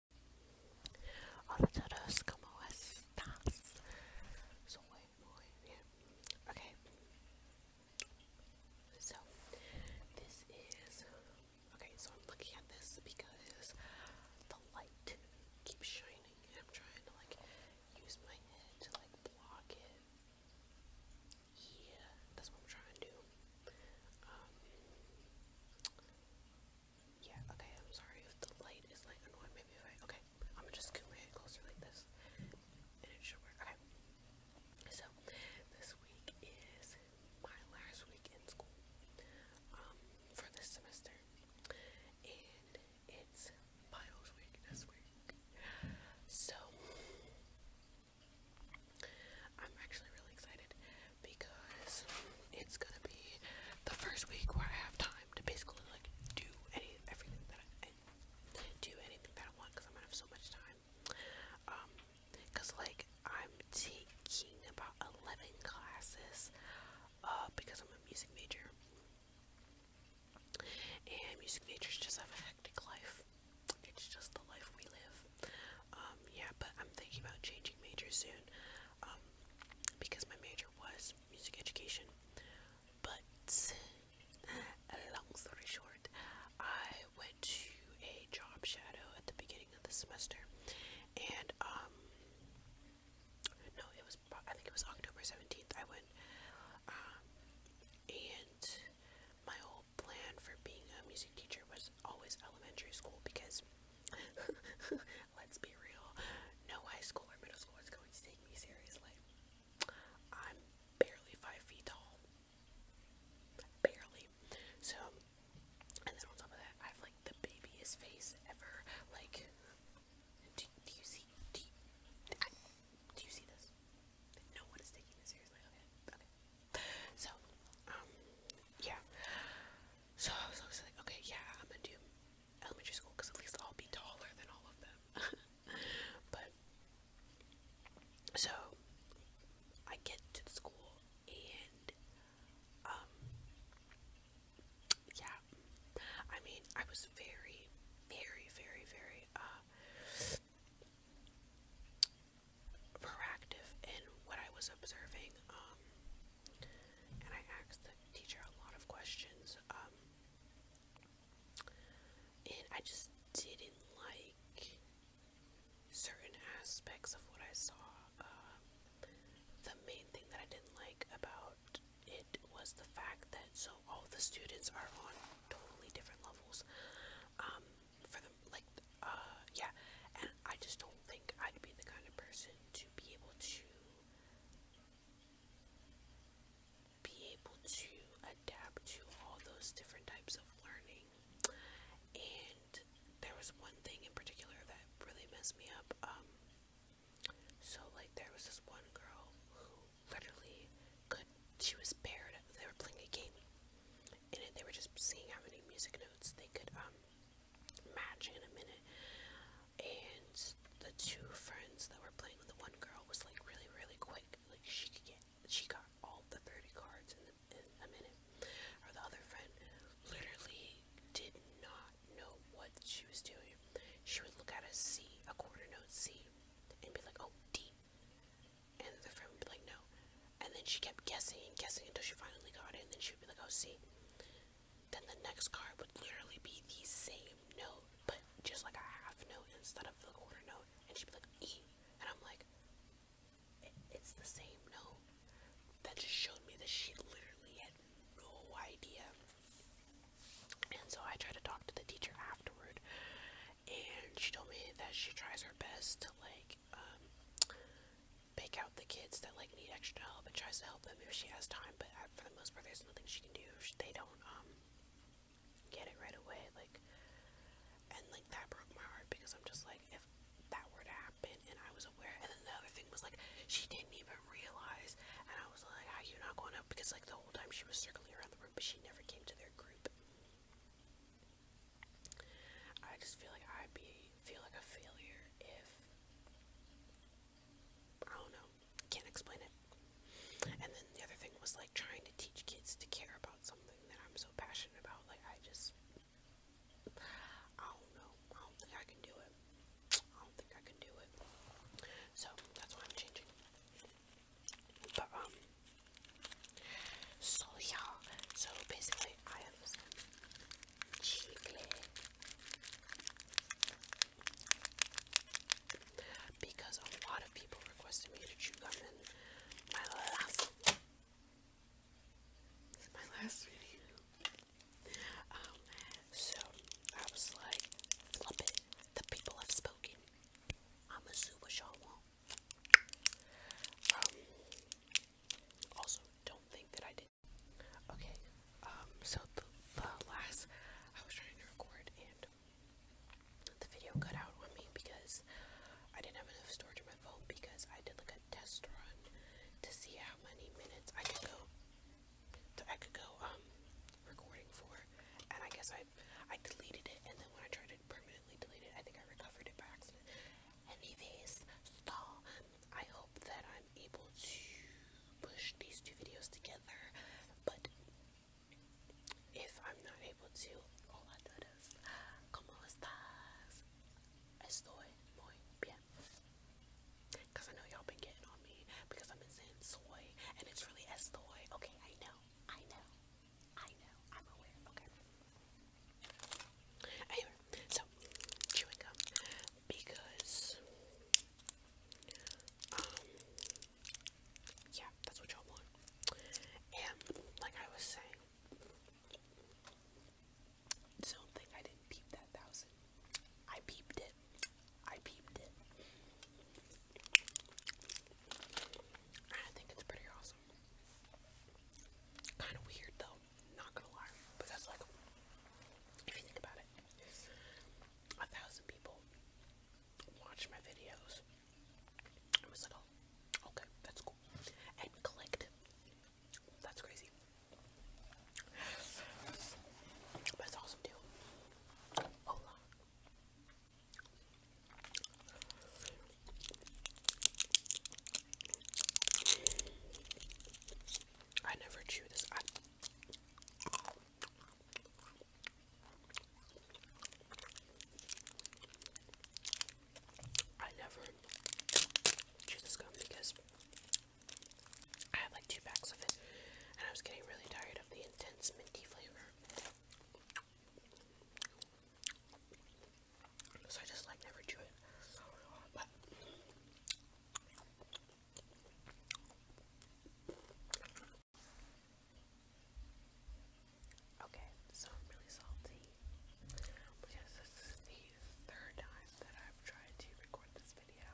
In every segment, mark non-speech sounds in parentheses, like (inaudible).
Okay. So, this is. Okay, so I'm looking at this because the light keeps shining and I'm trying to like use my head to like block it. Yeah, that's what I'm trying to do. Um, yeah, okay, I'm sorry if the light is like annoying maybe if I okay, I'm gonna just scoot my head closer like this. And it should work. Okay. So this week is my last week in school. Um, for this semester. And it's finals week this week. So I'm actually really excited because it's gonna be the first week where I have time to basically like do anything that I, do anything that I want because I'm gonna have so much time. Um, cause like I'm taking about eleven classes, uh, because I'm a music major, and music majors just have a hectic life. It's just the life we live. Um, yeah, but I'm thinking about changing major soon um, because my major was music education. But (laughs) long story short, I went to a job shadow at the beginning of the semester, and um, no, it was I think it was October seventeenth. I went, um, and my whole plan for being a music teacher was always elementary school because (laughs) Let's be real. No high school or middle school is going to take me seriously. I'm barely five feet tall. Barely. So, and then on top of that, I have like the babyest face ever. Like, do, you see? do you see this? No one is taking this seriously. Okay, okay. So, um, yeah. So I was like, okay, yeah, I'm gonna do elementary school because at least I'll be taller than all of them. (laughs) but so I get to the school and um yeah, I mean I was very, very, very, very uh proactive in what I was observing. Um and I asked the teacher a lot of questions. Um, and I just didn't like certain aspects of what I saw. Um, the main thing that I didn't like about it was the fact that so all the students are on totally different levels. Um, for the like uh, yeah, and I just don't think I'd be the kind of person to be able to be able to adapt to all those different types of learning. And there was one thing in particular that really messed me up. Um, so like there was this one girl who literally could she was paired they were playing a game and they were just seeing how many music notes they could um match in a minute. And the two friends that were playing with the one girl was like really, really quick. Like she get, she got all the 30 cards in, in a minute. Or the other friend literally did not know what she was doing. She would look at a C, a quarter note C, and be like, oh, D. And the friend would be like, no. And then she kept guessing and guessing until she finally got it. And then she would be like, oh, C then the next card would literally be the same note, but just like a half note instead of the quarter note, and she'd be like, E. And I'm like, it's the same note. That just showed me that she literally had no idea. And so I tried to talk to the teacher afterward, and she told me that she tries her best to, like, um, pick out the kids that like need extra help and tries to help them if she has time. But uh, for the most part, there's nothing she can do if she, they don't um get it right away. Like, and like that broke my heart because I'm just like, if that were to happen and I was aware, and then the other thing was like she didn't even realize, and I was like, how you not going up? Because like the whole time she was circling around the room, but she never came to their group. I just feel like I'd be feel like a failure if I don't know, can't explain it. And then the other thing was like trying to teach kids to care about something that I'm so passionate about. Like I just I don't know. I don't think I can do it. I don't think I can do it. So that's why I'm changing. But um so yeah, so basically I have cheaply because a lot of people requested me to chew gum in my last my last video. Um, so I was like, flop it. The people have spoken. I'ma do um, also, don't think that I did Okay, um, so the, last, I was trying to record and the video cut out on me because I didn't have enough storage in my phone because I did like a test run to see how many minutes I could go, to, I could go, um, recording for, and I guess I, I deleted it, and then when I tried to permanently delete it, I think I recovered it by accident, anyways so I hope that I'm able to push these two videos together but if I'm not able to hola a todos como estas estoy muy bien because I know y'all been getting on me because I've been soy and it's really estoy okay I know I know I know I'm aware okay so chewing gum because um, yeah, that's what y'all want. And like I was saying, do think I didn't that thousand. I peeped it. I peeped it. I think it's pretty awesome. Kind of weird though. Not gonna lie, but that's like, if you think about it, a thousand people watched my videos. I was like, oh, okay, that's cool, and clicked. That's crazy, but awesome too. Hold oh, on. I never chew this. I never chew this gum because I had like two packs of it and I was getting really tired of the intense minty flavor. So I just like never do it. Okay, so I'm really salty because this is the third time that I've tried to record this video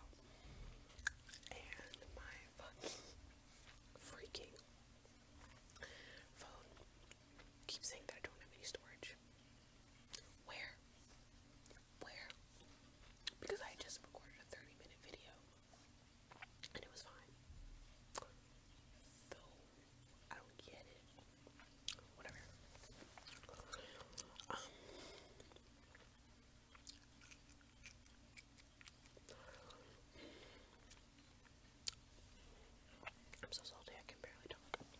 and my fucking freaking phone keeps saying that I don't have any storage. Where? Where? Because I just recorded a 30 minute video and it was fine. Though, I don't get it. Whatever. Um, I'm so salty I can barely talk.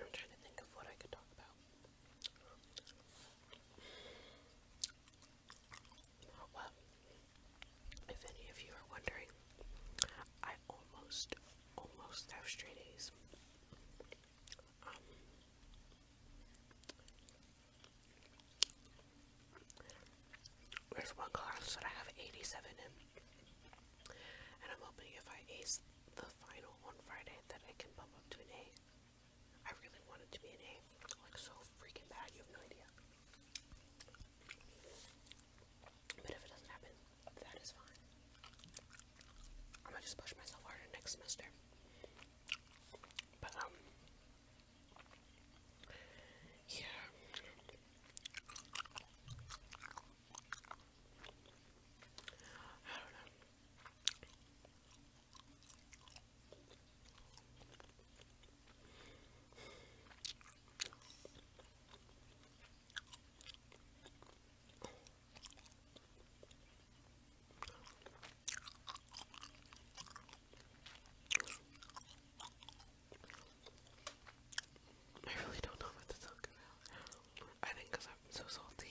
I'm trying to think of what I could talk about. Well, if any of you are wondering, I almost, almost have straight A's. Um, there's one class that I have 87 in, and I'm hoping if I ace the final on Friday that I can bump up to an A. I really want it to be an A. Like so freaking bad, you have no idea. But if it doesn't happen, that is fine. I'm gonna just push myself harder next semester. But um yeah. I don't know. I really don't know what to talk about. I think I'm so salty.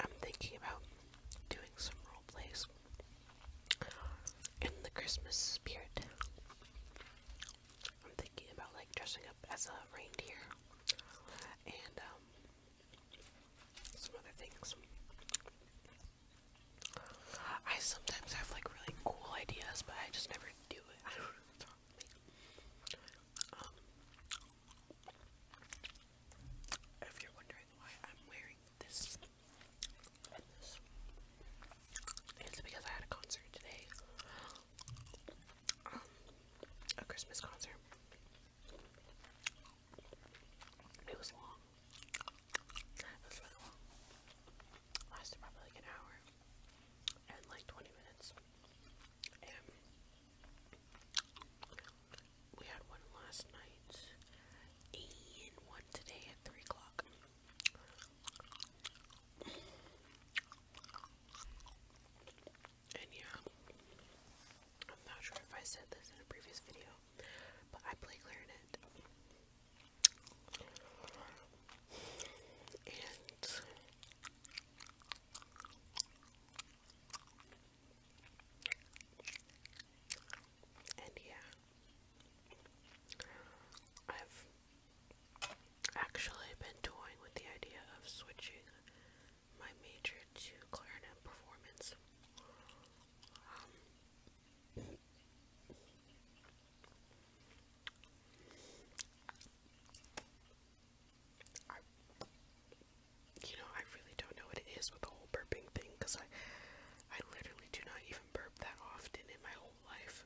I'm thinking about doing some role plays in the Christmas spirit. I'm thinking about like dressing up as a reindeer and um, some other things. I sometimes have like really cool ideas, but I just never do it. Um, if you're wondering why I'm wearing this it's because I had a concert today. Um, a Christmas concert. It was long. It was really Lasted probably like an hour and like 20 minutes. And we had one last night and one today at 3 o'clock. And yeah, I'm not sure if I said this in a previous video, but I play clarinet. And and yeah, I've actually been toying with the idea of switching my major to clarinet performance. Um, I, you know, I really don't know what it is with the whole burping thing I, I literally do not even burp that often in my whole life.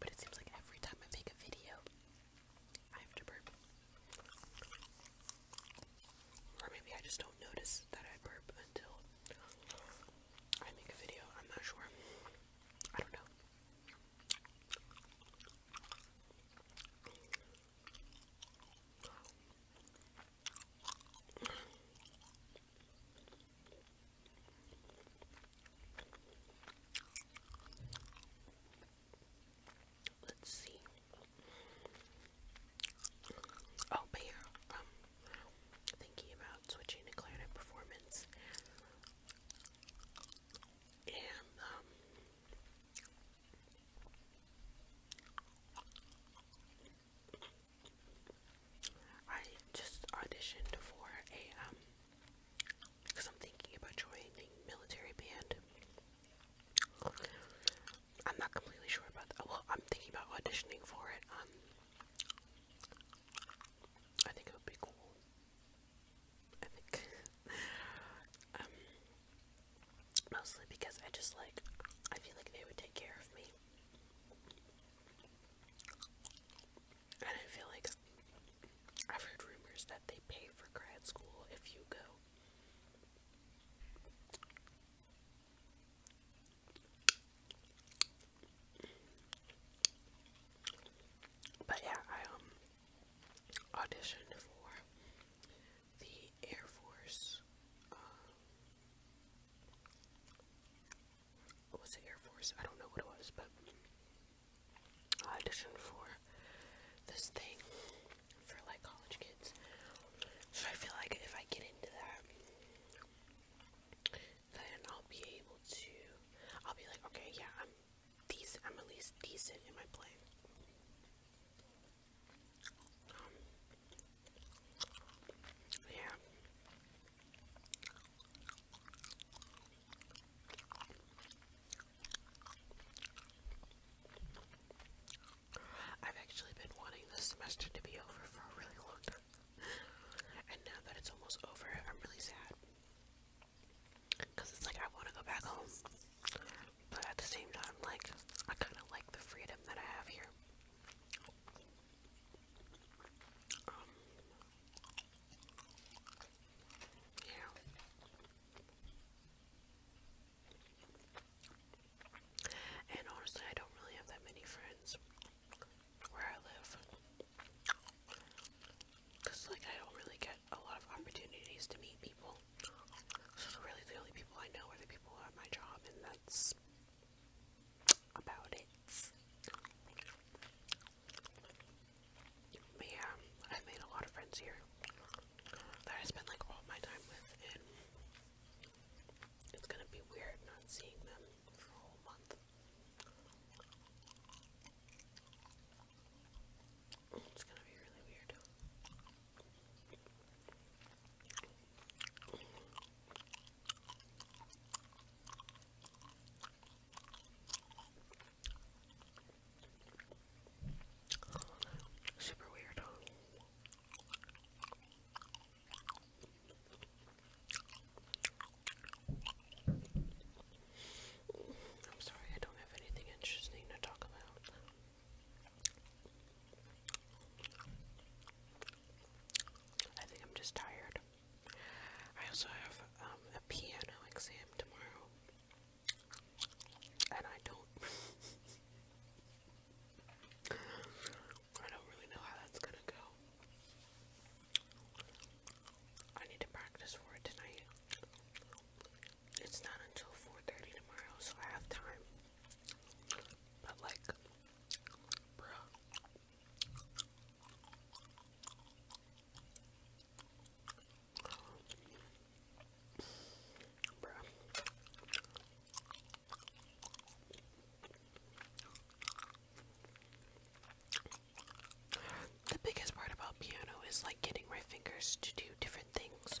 But it seems like every time I make a video, I have to burp. Or maybe I just don't notice that I burp until I make a video, I'm not sure. I don't know. Let's see. Oh, but here, um, thinking about switching to clarinet performance, and um, I just auditioned for a um, because I'm thinking about joining military band. I'm not completely sure about that. Well, I'm thinking about auditioning for it. Um, I think it would be cool. I think. (laughs) um, mostly because I just like, I feel like they would take care of me. And I feel like I've heard rumors that they pay for grad school if you go. But yeah, I um auditioned for the Air Force. Um, what was it Air Force? I don't know what it was, but auditioned for this thing for like college kids. So I feel like if I get into that, then I'll be able to I'll be like, okay, yeah, I'm decent i at least decent in my play. Um, yeah. I've actually been wanting this semester to be over for a really long time. And now that it's almost over, I'm really sad. Because it's like I want to go back home. But at the same time, like, I kind of like the freedom that I have here. Um, yeah. And honestly, I don't really have that many friends where I live. Because, like, I don't really get a lot of opportunities to meet people. So, really, the only people I know are the people at my job, and that's about it. But yeah, I've made a lot of friends here that I spend like all my time with, and it's gonna be weird not seeing them for a whole month. It's gonna be really weird. Super weird. I'm sorry, I don't have anything interesting to talk about. I think I'm just tired. I also have um, a piano exam tomorrow, and I don't. (laughs) I don't really know how that's gonna go. I need to practice for it tonight. It's not until 4:30 tomorrow, so I have time. But like, bruh. Bruh. The biggest part about piano is like getting my fingers to do different things.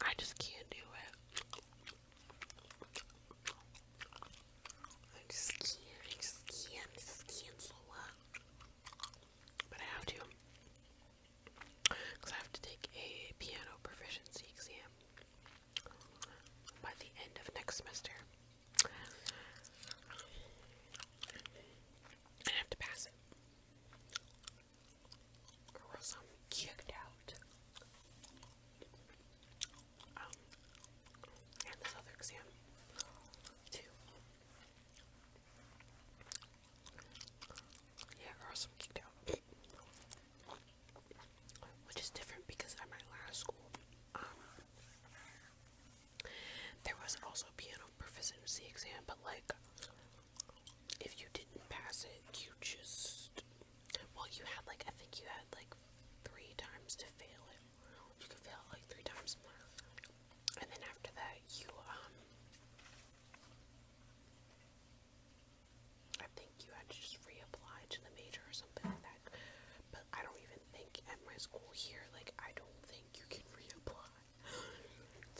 I just can't do it. I just can't, I just can't, just can But I have to. Because I have to take a piano proficiency exam by the end of next semester. I have to pass it. Or else I'm kicked out. Um, and this other exam, too. Yeah, or else I'm kicked out which is different because i at my last school, um, there was also a piano proficiency exam, but like, if you didn't pass it, you just, well, you had like, I think you had like three times to fail it. You could fail like three times, and then after that, you, um, I think you had to just reapply to the major or something like that. But I don't even think at my school here, like, I don't think you can reapply (gasps)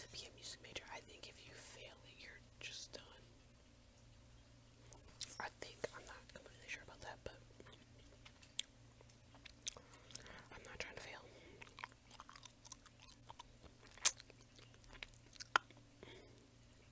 to be a music major. I think if you fail it, you're just done. I think, I'm not completely sure about that, but I'm not trying to fail.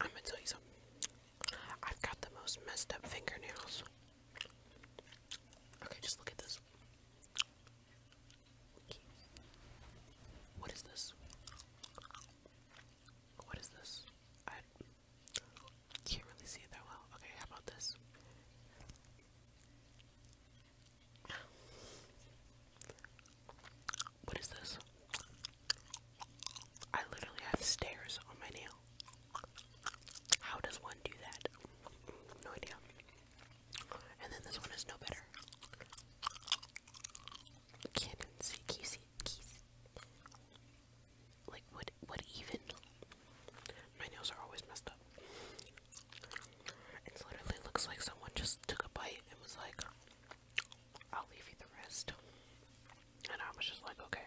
I'm gonna tell you something. I've got the most messed up fingernails. Okay, just look at this. What is this? What is this? I can't really see it that well. Okay, how about this? What is this? I literally have stairs on my nail. How does one do that? No idea. And then this one is no better. can you see, can you see? Like, what, what even? My nails are always messed up. It literally looks like someone just took a bite and was like, I'll leave you the rest. And I was just like, okay.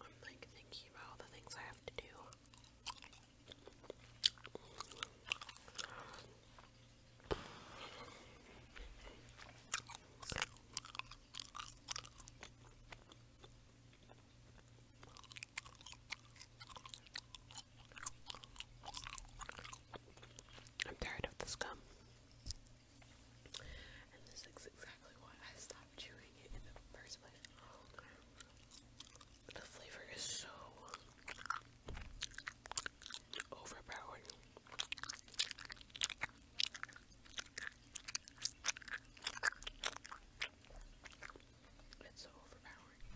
I'm like thinking about the things I have to do. I'm tired of this gum. And this is exactly why I stopped chewing it in the first place. The flavor is so overpowering. It's so overpowering.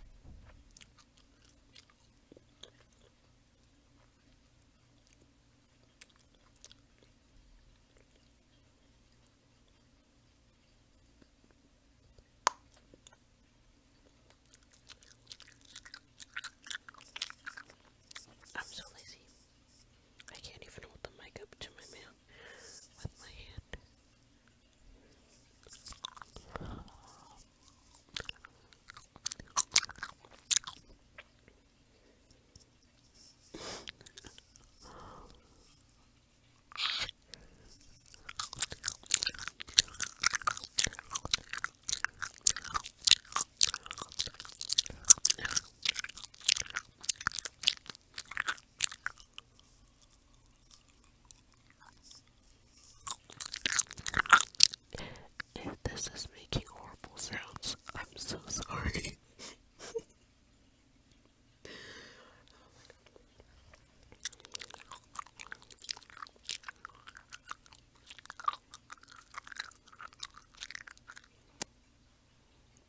I'm so lazy. I can't even hold the mic up to my mouth with my hand. If this is making horrible sounds, I'm so sorry. oh (laughs)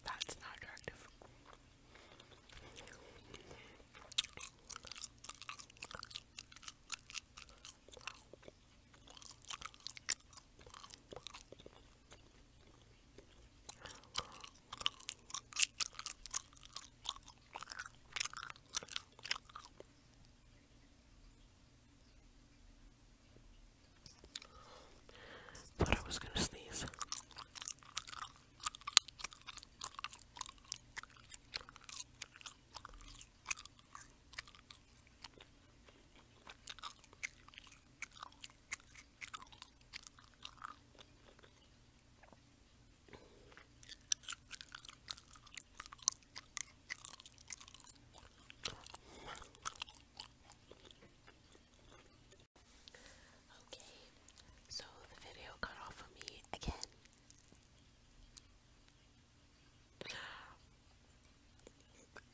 That's not attractive. Thought I was gonna sneeze. Okay, so the video cut off of me again.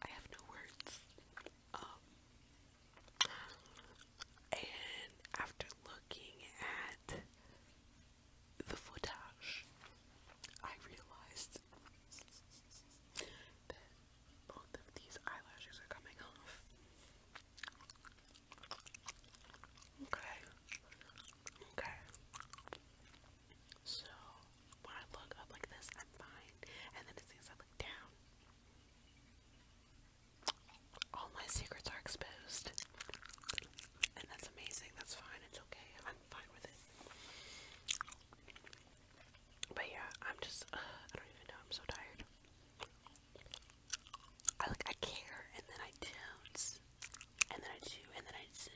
I have no words. Um, and after looking at the footage, I realized that both of these eyelashes are coming off. Okay. Okay. So when I look up like this, I'm fine. And then as soon as I look down, all my secrets are exposed. And that's amazing. That's fine. It's okay. I'm fine with it. But yeah, I'm just, uh, I don't even know, I'm so tired. I like, I care, and then I do and then I do, and then I do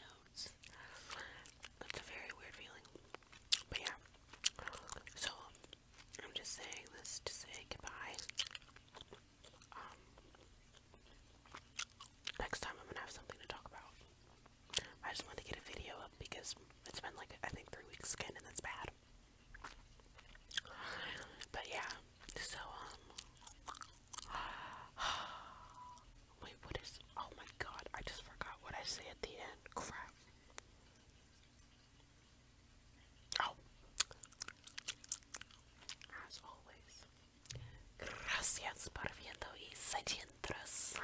That's a very weird feeling. But yeah, so I'm just saying this to say goodbye. Um, next time I'm gonna have something to talk about. I just wanted to get a video up because it's been like I think three weeks skin and that's bad. But yeah, so um, (sighs) wait, what is? Oh my god, I just forgot what I say at the end. Crap. Oh, as always, gracias por viendo y se